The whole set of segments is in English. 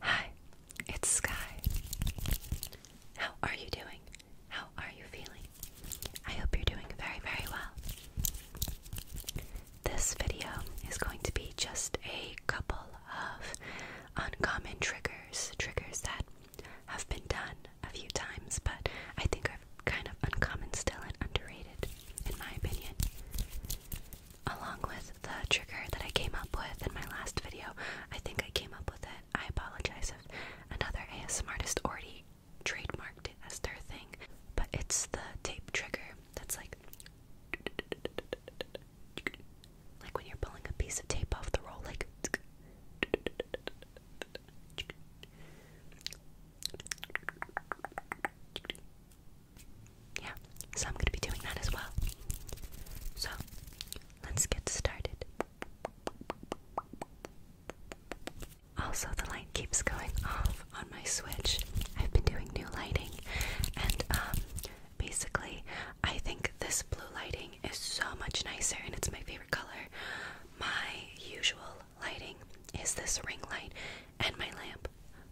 Hi, it's Sky. How are you doing? How are you feeling? I hope you're doing very, very well. This video is going to be just a couple of uncommon triggers, triggers that have been done a few times, but I think are kind of uncommon still and underrated, in my opinion along with the trigger that I came up with in my last video. I think I came up with it. I apologize if another ASMR artist already trademarked it as their thing, but it's the tape trigger that's like like when you're pulling a piece of tape off the roll, like yeah, so I'm gonna be doing that as well. So, let's get started. Also, the light keeps going off on my Switch. I've been doing new lighting, and um, basically, I think this blue lighting is so much nicer, and it's my favorite color. My usual lighting is this ring light and my lamp,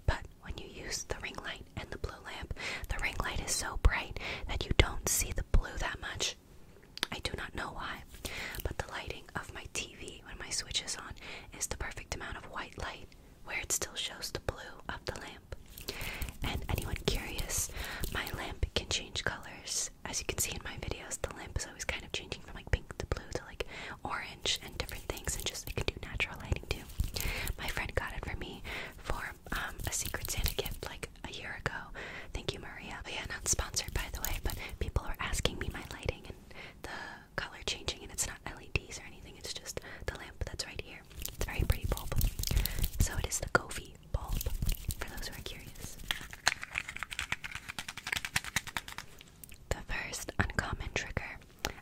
but when you use the ring light and the blue lamp. The ring light is so bright that you don't see the blue that much. I do not know why, but the lighting of my TV when my switch is on is the perfect amount of white light where it still shows the blue of the lamp. And anyone curious, my lamp can change colors. As you can see in my videos, the lamp is always kind of changing from like pink to blue to orange and different things, and just we can do natural lighting too. My friend got it for me for um, a Secret Santa gift like a year ago. Thank you, Maria. Oh yeah, not sponsored by the way, but people are asking me my lighting and the color changing, and it's not LEDs or anything. It's just the lamp that's right here. It's a very pretty bulb. So it is the Gofi bulb for those who are curious. The first uncommon trigger,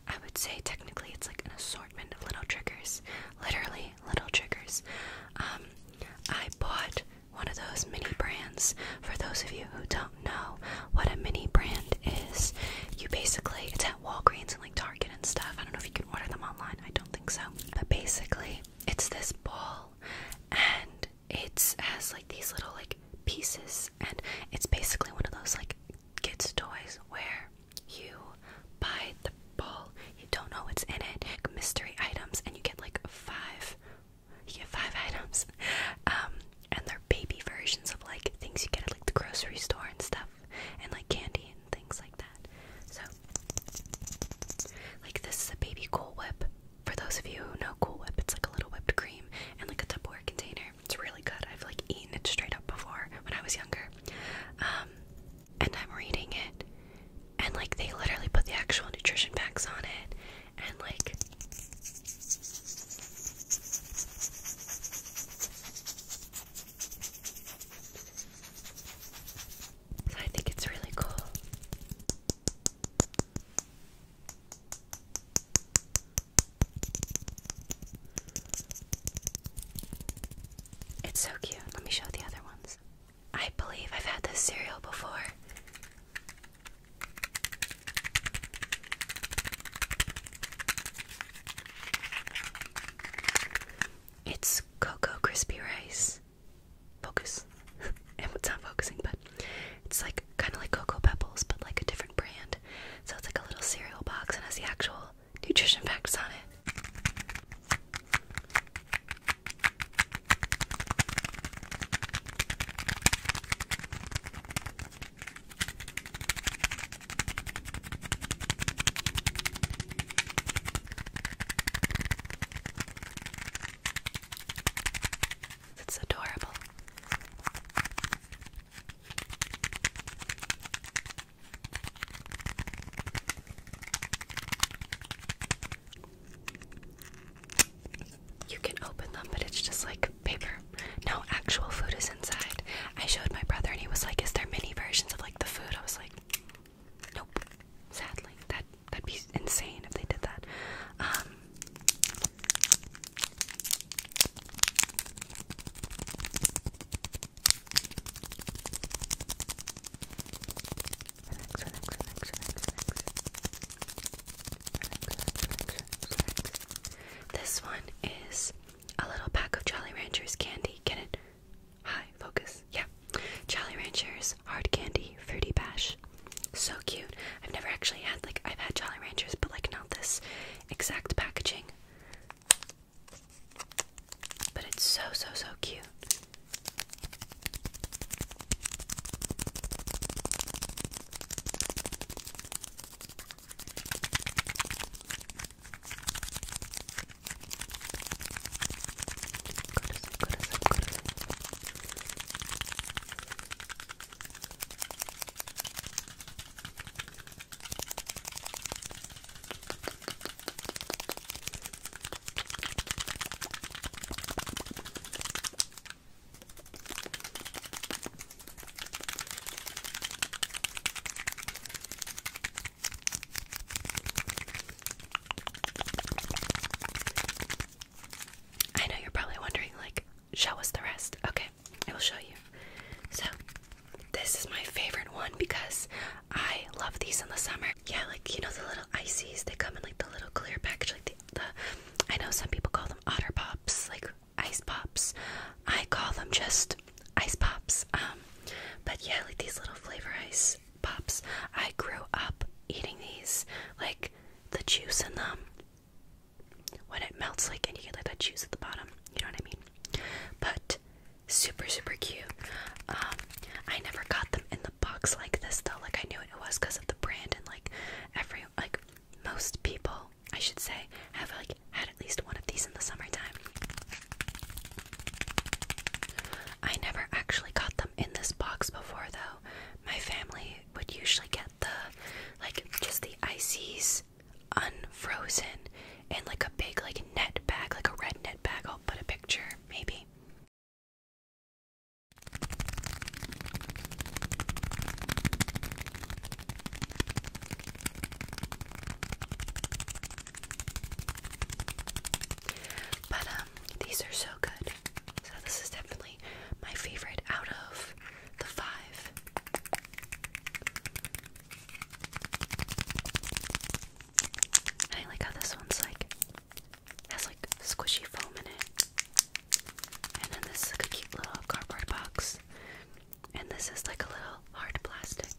I would say technically it's like an assortment of little triggers, literally little triggers. Um, I bought one of those mini brands. For those of you who don't know what a mini brand is, you basically, it's at Walgreens and like Target and stuff. I don't know if you can order them online, I don't think so. But basically, it's this ball and it has like these little like pieces and it's basically one of those like kids' toys where you buy the ball, you don't know what's in it, mystery items, and you get like five. You get five items, um, and they're baby versions of like things you get at like the grocery store and stuff, and like candy and things like that. So, like this is a baby Cool Whip. For those of you who know Cool Whip, it's like a little whipped cream and like a tubular container. It's really good. I've like eaten it straight up before when I was younger. Um, and I'm reading it, and like they literally put the actual nutrition facts on it, and like. I think it's really cool. It's so cute. Let me show the other ones. I believe I've had this cereal before. It's Cocoa Crispy Rice. Focus. and it's not focusing, but it's like kind of like Cocoa Pebbles, but like a different brand. So it's like a little cereal box and has the actual nutrition facts on it. It's adorable. You can open them, but it's just like paper. No actual food is inside. I showed my brother, and he was like, "Is there mini versions of like the food?" I was like, "Nope." Sadly, that that'd be insane if they did that. Um, this one is a little pack of Jolly Ranchers candy. Get it? Hi, focus. Yeah. Jolly Ranchers hard candy fruity bash. So cute. I've never actually had like I've had Jolly Ranchers, but like not this exact packaging. But it's so, so, so cute. I know you're probably wondering, like, show us the rest. Okay, I will show you. So, this is my favorite one because I love these in the summer. Yeah, like you know the little ices. They come in like the little clear package. Like the, the I know some people call them otter pops, like ice pops. I call them just ice pops. Um, but yeah, like these little flavor ice pops. I grew up eating these, like the juice in them when it melts like and you get like that juice at the bottom you know what i mean but super super cute um, i never got them in the box like this though like i knew it was because of the brand and like every like most people i should say have like had at least one of these in the summertime i never actually got them in this box before though my family would usually get the like just the ices unfrozen and like a big like net bag, like a red net bag. I'll put a picture maybe. But um these are so good. So this is definitely my favorite out of the five. I like how this one's like has like squishy foam in it. And then this is like a cute little cardboard box. And this is like a little hard plastic.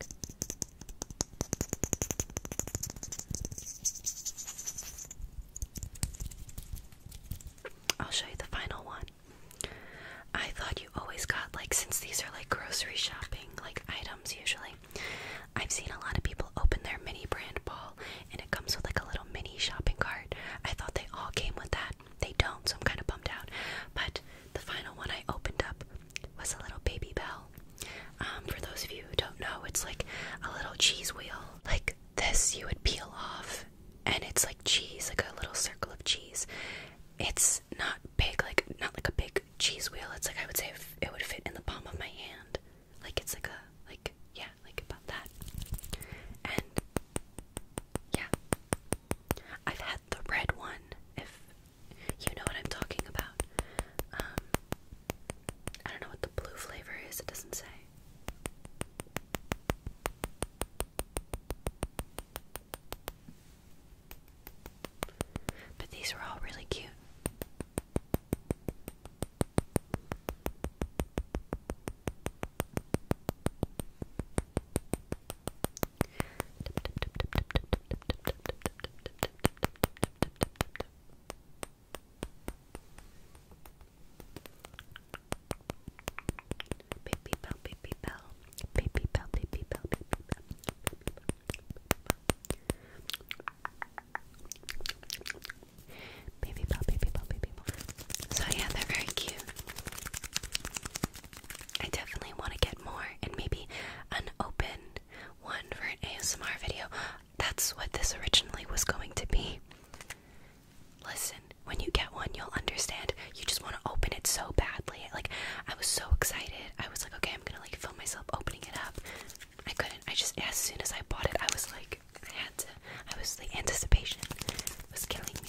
I'll show you the final one. I thought you always got like since these are like grocery shopping like items usually. I've seen a lot of people open their mini brand ball and it comes with like a little mini shopping cart. I thought they all came with that. They don't, so I'm kind of bummed out. But the final one I opened up was a little baby bell. Um, for those of you who don't know, it's like a little cheese wheel. Like this you would peel off, and it's like cheese, like a little circle of cheese. It's not big, like not like a big cheese wheel. It's like I would say it would fit in the palm of my hand. Like it's like a like yeah, like about that. And yeah, I've had the red one. If you know what I'm talking about. Um, I don't know what the blue flavor is. It doesn't say. But these were all really cute. Baby bell, baby bell, baby bell, baby bell, baby bell, baby bell, baby bell, baby bell, baby bell. So yeah, they're very cute. I definitely want to get more and maybe an open one for an ASMR video. That's what this originally was going to be. Listen, when you get one, you'll understand. You just want to open it so badly. Like I was so excited. I was like, okay, I'm gonna like film myself opening it up. I couldn't. I just as soon as I bought it, I was like, I had to. I was like, anticipation was killing me.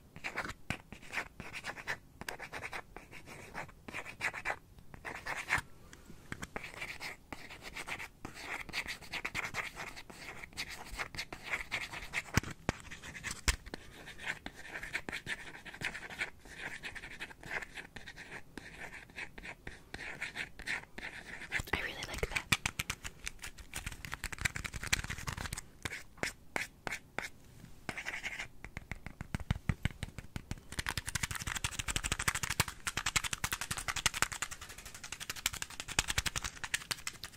I really like that.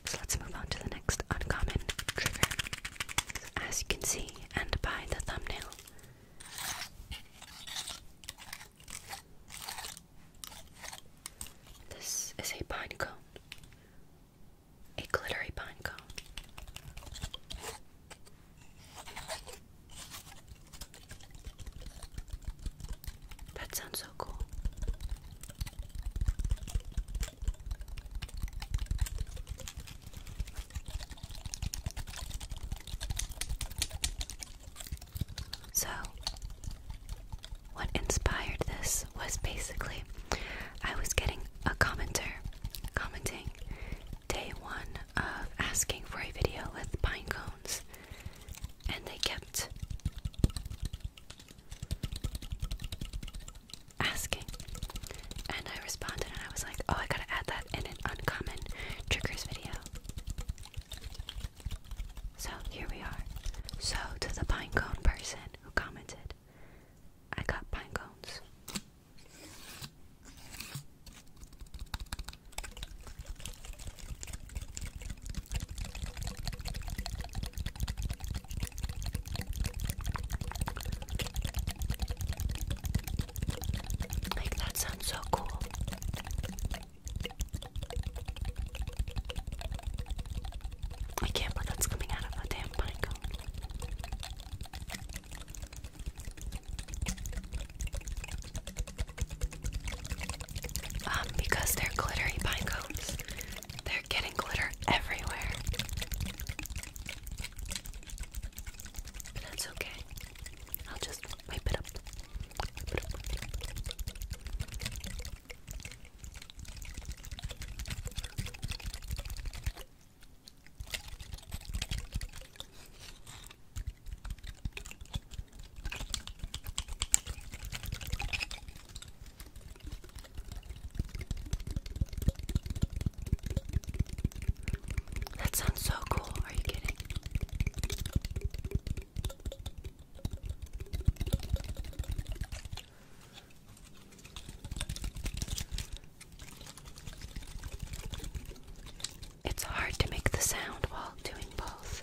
So let's move on to the next uncommon trigger. As you can see, and by the thumbnail, this is a pine cone a glittery pine cone. That sounds so cool. So, what inspired this was basically I was getting a commenter commenting day one of asking for a video with pine cones, and they kept asking. And I responded, and I was like, oh, I gotta add that in an uncommon triggers video. So here we are. So, to the pine cone person who commented, I got pine cones. that sounds so cool. I can't believe that's coming out of a damn pine cone. Um, because they're glittery pine they're getting glitter everywhere. that's okay. I'll just wipe it up. That sounds so cool. Are you kidding? It's hard to make the sound while doing both.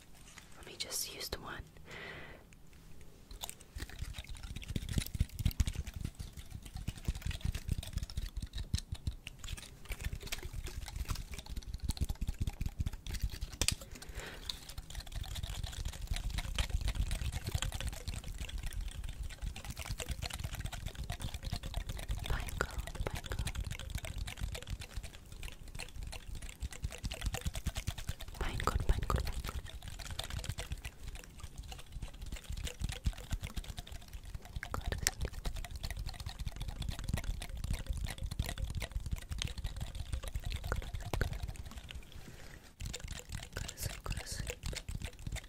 Let me just use the one. Pine cone, pine cone. Mein Gott, mein Gott, mein Gott. Gott. Gottes Hilfe, Gottes Hilfe.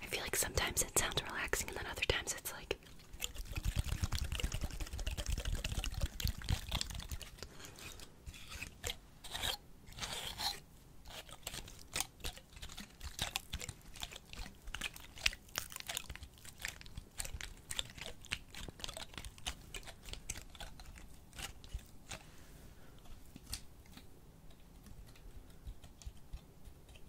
I feel like sometimes it sounds relaxing and then other times it's like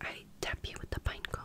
I tap you with the pine cone.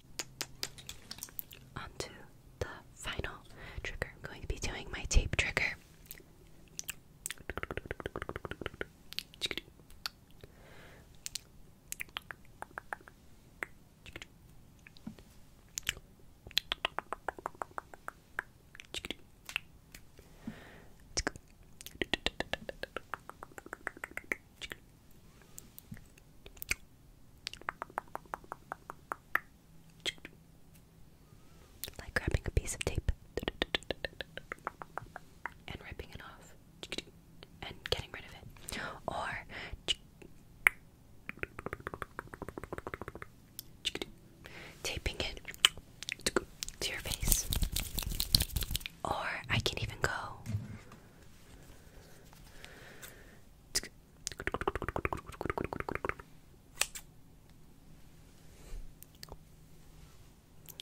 On the final trigger. I'm going to be doing my tape trigger. Like grabbing a piece of tape and ripping it off and getting rid of it. Or taping it to your face. Or I can even go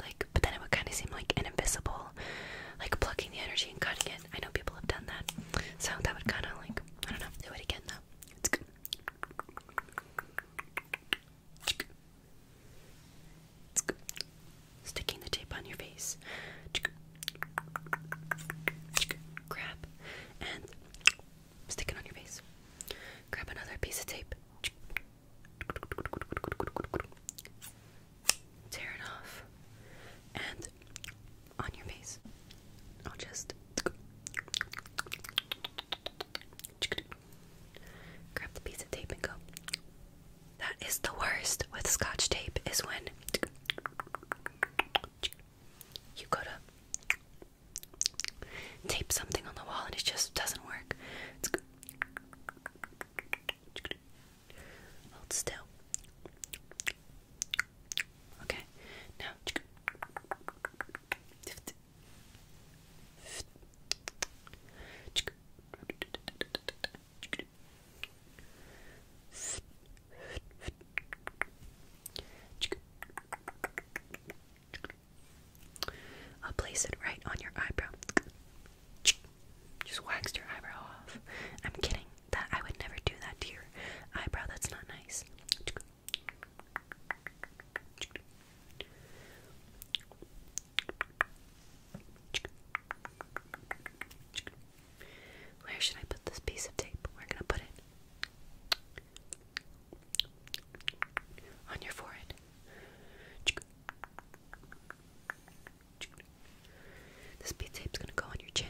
like, but then it would kind of seem like an invisible, like plucking the energy and cutting it. I know people have done that, so that would kind of like, I don't know, do it again though sticking the tape on your face. Grab and stick it on your face. Grab another piece of tape. Tear off and on your face. I'll just grab the piece of tape and go. That is the worst with scotch tape is when you go to tape something on the wall and it just doesn't work. Hold still. Okay, now. I'll place it right on your eyebrow. Just waxed your eyebrow off. I'm kidding. That I would never do that to eyebrow. That's not nice. Where should I put this piece of tape? We're gonna put it on your forehead. This bead tape's gonna go on your chin.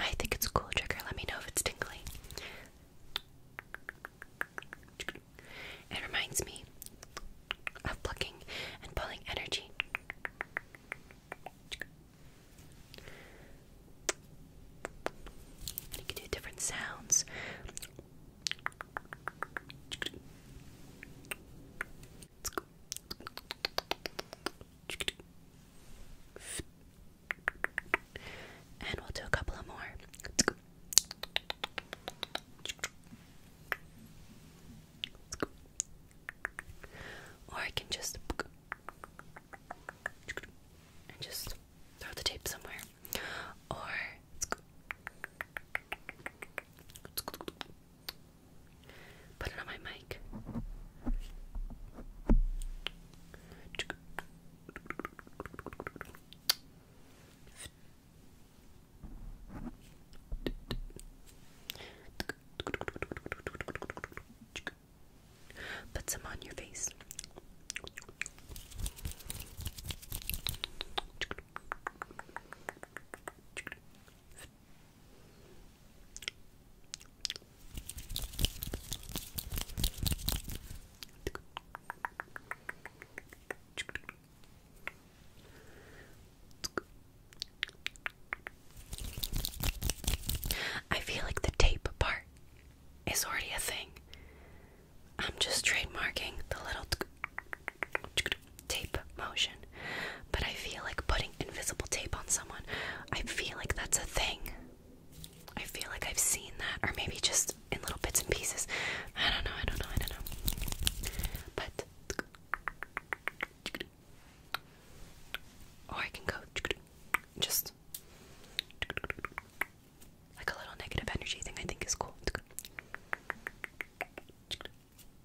I think it's a cool trigger. Let me know if it's tingly. It reminds me of plucking and pulling energy. You can do different sounds. And we'll do a couple of more. Or I can just just throw the tape somewhere. Or Put it on my mic. Put some on your face. I feel like the tape part is already a thing. I'm just trademarking the little tape motion. But I feel like putting invisible tape on someone, I feel like that's a thing. I feel like I've seen that, or maybe just in little bits and pieces. I don't know, I don't know, I don't know. But. Or I can go just like a little negative energy thing, I think is cool.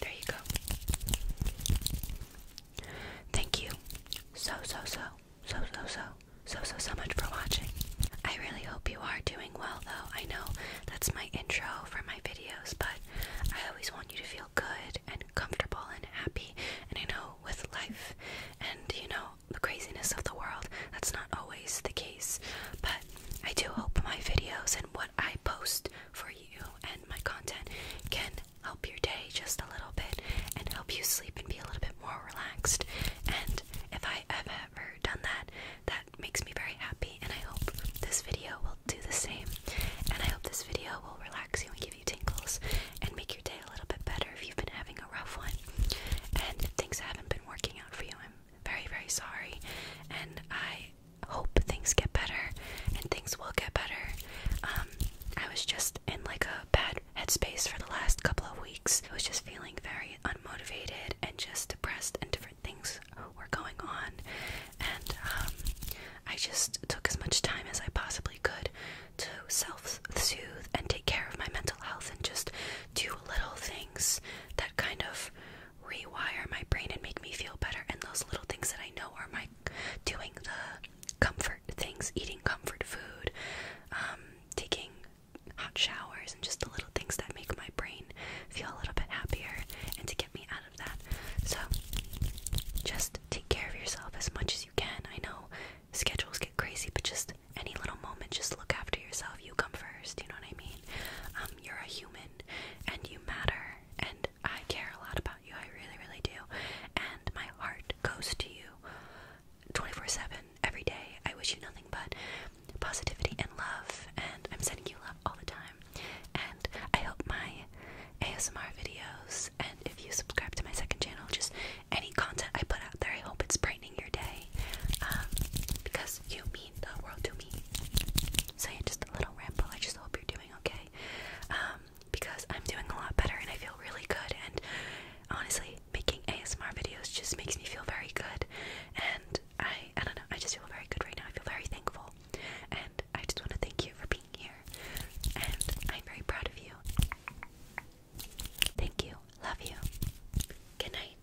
There you go. Thank you so, so, so, so, so, so, so, so, so much for watching. I really hope you are doing well, though. I know that's my intro for my videos, but I always want you to feel good and comfortable and happy. And I know with life and, you know, the craziness of the world, that's not always the case, but I do hope my videos and what I post for you and my content can help your day just a little bit and help you sleep and be a little bit more relaxed. And if I have ever done that, that makes me very happy, and I hope this video will do the same. And I hope this video will relax you and give you tingles and make your day a little bit better if you've been having a rough one. And if things haven't been working out for you, I'm very, very sorry. And I hope things get better and things will get better. Um, I was just in like a bad headspace for the last couple of weeks. I was just feeling very unmotivated and just depressed, and different things were going on. And um, I just took as much time as I possibly could to self soothe and take care of my mental health and just do little things that kind of rewire my brain and make me feel better. And those little things that I know are my doing the comfort things, eating comfort food, um, taking hot showers, and just the little things that make my brain feel a little bit happier and to get me out of that. So just take care of yourself as much as you can. I know schedules get crazy, but just any little moment, just look after yourself. You come first, you know what I mean? Um, you're a human and you matter and I care a lot about you. I really, really do. And my heart goes to you 24 7 every day. I wish you nothing but positivity and love. And I'm sending you love all the time. And I hope my ASMR videos, and if you subscribe to my second channel, just any content I put out there, I hope it's brightening your day. Um, because you, me, the world to me. So just a little ramble. I just hope you're doing okay. Um, because I'm doing a lot better and I feel really good and honestly making ASMR videos just makes me feel very good and I I don't know, I just feel very good right now. I feel very thankful. And I just want to thank you for being here. And I'm very proud of you. Thank you. Love you. Good night.